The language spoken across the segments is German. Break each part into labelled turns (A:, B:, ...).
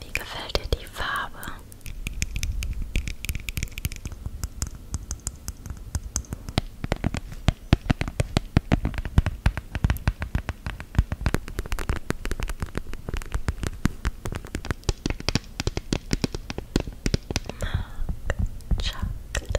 A: Wie gefällt dir die Farbe? Mark Chocolate.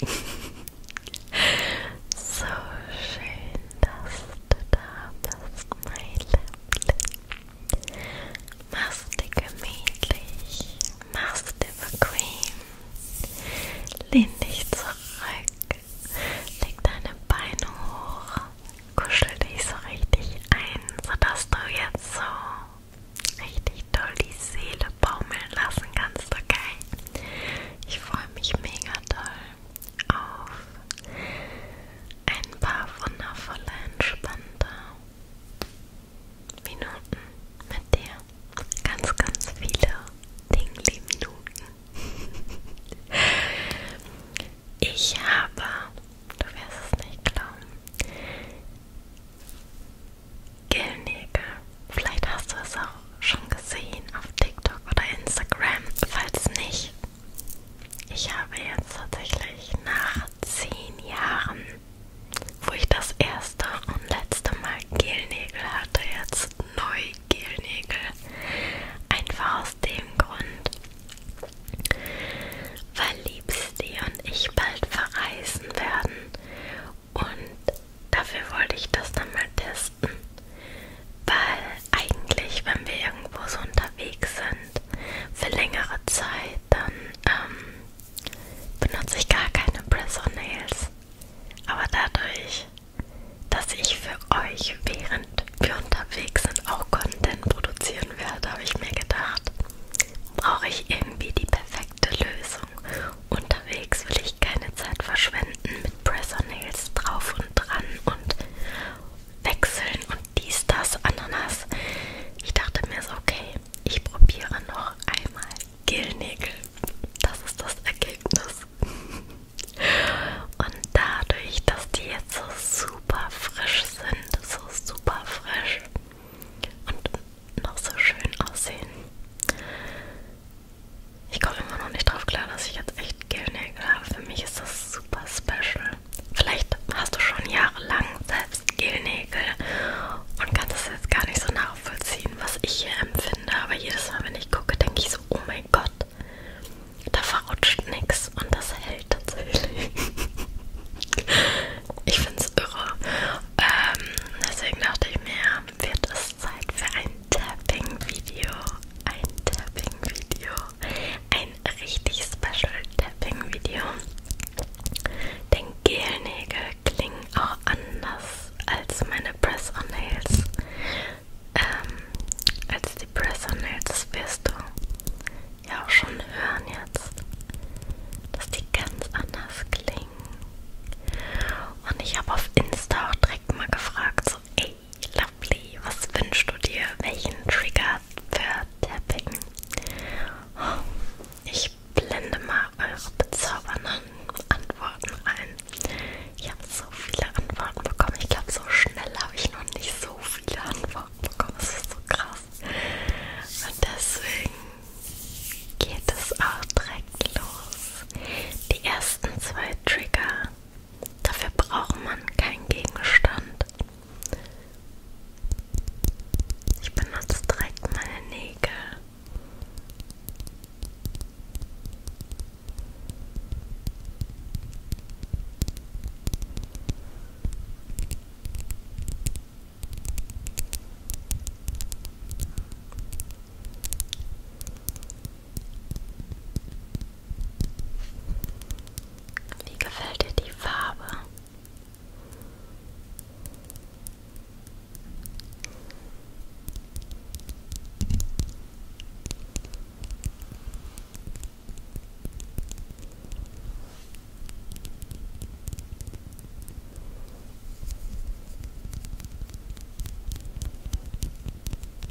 A: Baby. so schön, dass du da bist, mein Liebling. Mach's dir gemütlich, mach's dir bequem. Lehn dich zurück, leg deine Beine hoch, kuschel dich so richtig ein, sodass du jetzt so richtig doll die Seele baumeln lassen kannst, okay? Ich freue mich mega toll auf ein paar wundervolle, entspannte Minuten mit dir. Ganz, ganz viele Dingli Minuten. Ich habe, du wirst es nicht glauben, Gelnägel Vielleicht hast du es auch schon gesehen auf TikTok oder Instagram. Falls nicht, ich habe jetzt tatsächlich nach zehn Jahren, wo ich das erste und letzte Mal Gelnägel hatte, jetzt neu Gelnägel. Einfach aus dem Grund, weil Liebste und ich bald verreisen werden und dafür wollte ich das dann mal testen. Weil eigentlich, wenn wir irgendwo so unterwegs sind, für längere Zeit, dann ähm, benutze ich gar keine Press-on-Nails. Aber dadurch, dass ich für euch, während wir unterwegs sind, auch Content produzieren werde, habe ich mir gedacht, brauche ich irgendwie die perfekte Lösung. Unterwegs will ich keine Zeit verschwenden mit Presser-Nails drauf und dran und wechseln und dies, das, Ananas. Ich dachte mir so, okay, ich probiere noch einmal Gelnägel. Das ist das Ergebnis. Und dadurch, dass die jetzt so super frisch sind, so super frisch und noch so schön aussehen, ich komme immer noch nicht drauf klar, dass ich jetzt echt Gelnägel habe. Für mich ist das super special. Vielleicht hast du schon jahrelang selbst Gelnägel und kannst es jetzt gar nicht so nachvollziehen, was ich hier empfinde. Aber jedes Mal, wenn ich gucke, denke ich so, oh mein Gott, da verrutscht nichts und das hält tatsächlich. ich find's irre. Ähm, deswegen dachte ich mir, wird es Zeit für ein Tapping-Video. Ein Tapping-Video. Ein richtig special Tapping-Video. Denn Gelnägel klingen auch anders als meine Press-on-Nails. Ähm, als die Press-on-Nails, das wirst du ja auch schon hören jetzt. Dass die ganz anders klingen. Und ich habe auf Insta auch direkt mal gefragt, so, ey, Lovely, was wünschst du dir? Welchen Trigger für Tapping? Oh, ich blende mal eure bezaubernden Antworten ein. Ich habe so viele Antworten bekommen. Ich glaube, so schnell habe ich noch nicht so viele Antworten bekommen. Das ist so krass. Und deswegen geht es auch direkt los. Die ersten zwei Trigger Dafür braucht man keinen Gegenstand. Ich benutze direkt meine Nägel. Wie gefällt dir die Farbe?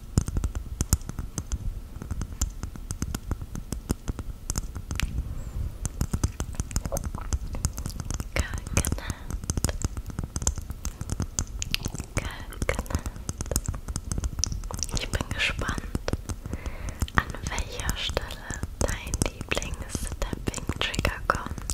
A: Coconut. Coconut. Ich bin gespannt, an welcher Stelle dein Lieblings-Tapping-Trigger kommt.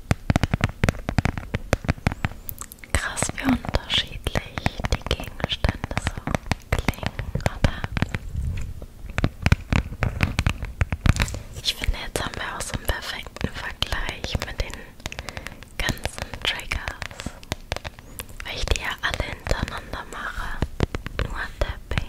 A: Krass, wie unterschiedlich die Gegenstände so klingen, oder? Ich finde, jetzt haben wir auch so einen perfekten Vergleich mit den ganzen Triggers, weil ich die ja alle hintereinander mache. Nur Tapping.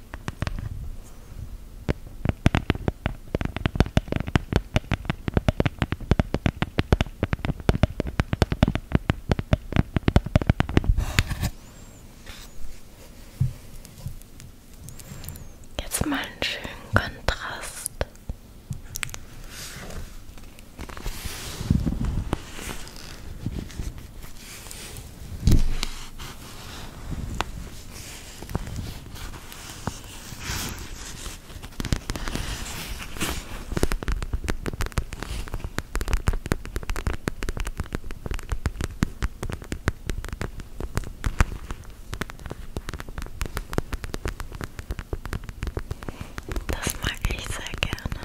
A: Jetzt mal einen schönen Kontrast. Das mag ich sehr gerne.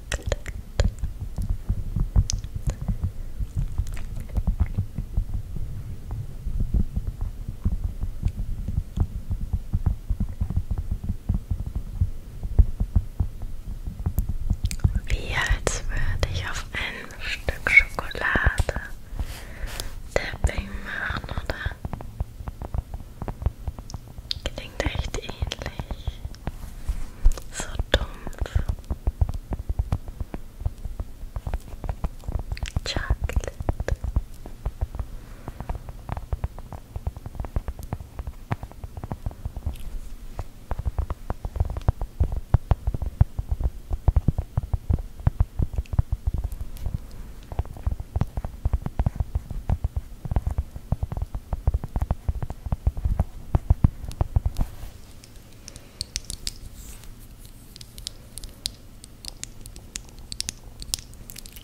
A: Wie als würde ich auf ein Stück Schokolade Tapping machen, oder? Klingt echt ähnlich. So dumpf. Chocolate.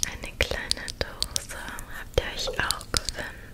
A: Eine kleine Dose habt ihr euch auch gewünscht.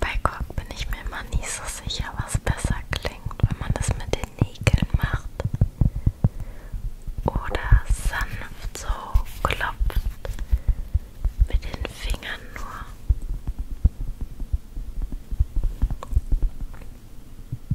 A: Bei Kork bin ich mir immer nicht so sicher, was besser klingt, wenn man das mit den Nägeln macht oder sanft so klopft mit den Fingern nur.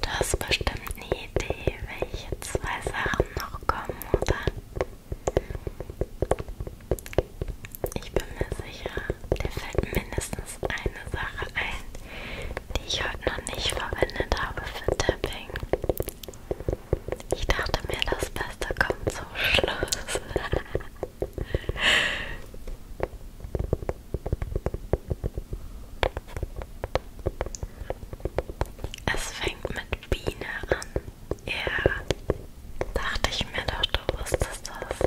A: Du hast bestimmt eine Idee, welche zwei Sachen noch kommen, oder? Ich bin mir sicher, dir fällt mindestens eine Sache ein, die ich heute noch nicht verwendet habe für Tapping. Ich dachte mir, das Beste kommt zum Schluss. Es fängt mit Biene an. Ja, yeah. dachte ich mir doch, du wusstest das.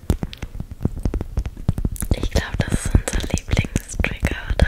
A: Ich glaube, das ist unser Lieblingstrigger, oder?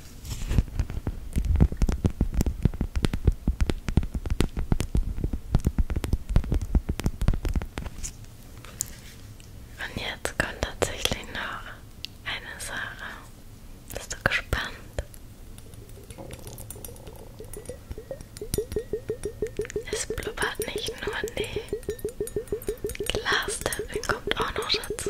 A: Und jetzt kommt tatsächlich noch eine Sache. Bist du gespannt? Es blubbert nicht nur, nee. Glastöpfchen kommt auch noch dazu.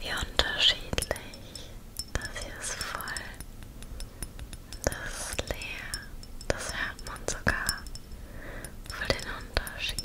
A: Wie unterschiedlich. Das hier ist voll. Das ist leer. Das hört man sogar. Für den Unterschied.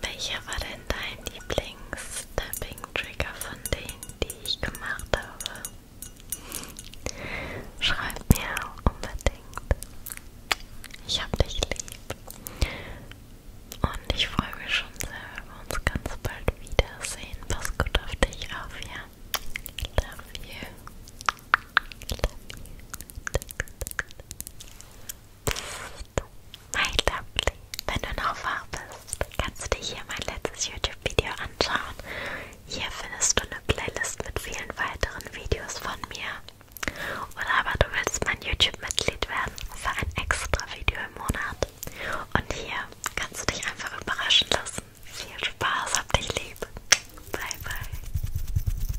A: Welcher war denn dein Lieblings-Tapping-Trigger von denen, die ich gemacht habe? Schreib mir unbedingt. Ich hab dich lieb. Und ich freue mich schon sehr, wenn wir uns ganz bald wiedersehen. Pass gut auf dich auf, ja? Love you. Love you. My lovely, wenn du noch wach bist, kannst du dir hier mein letztes YouTube-Video anschauen. Hier findest du eine Playlist mit vielen weiteren Videos von mir. Oder aber du willst mein YouTube-Mitglied werden für ein extra Video im Monat. Und hier kannst du dich einfach überraschen lassen. Viel Spaß, hab dich lieb. Bye, bye.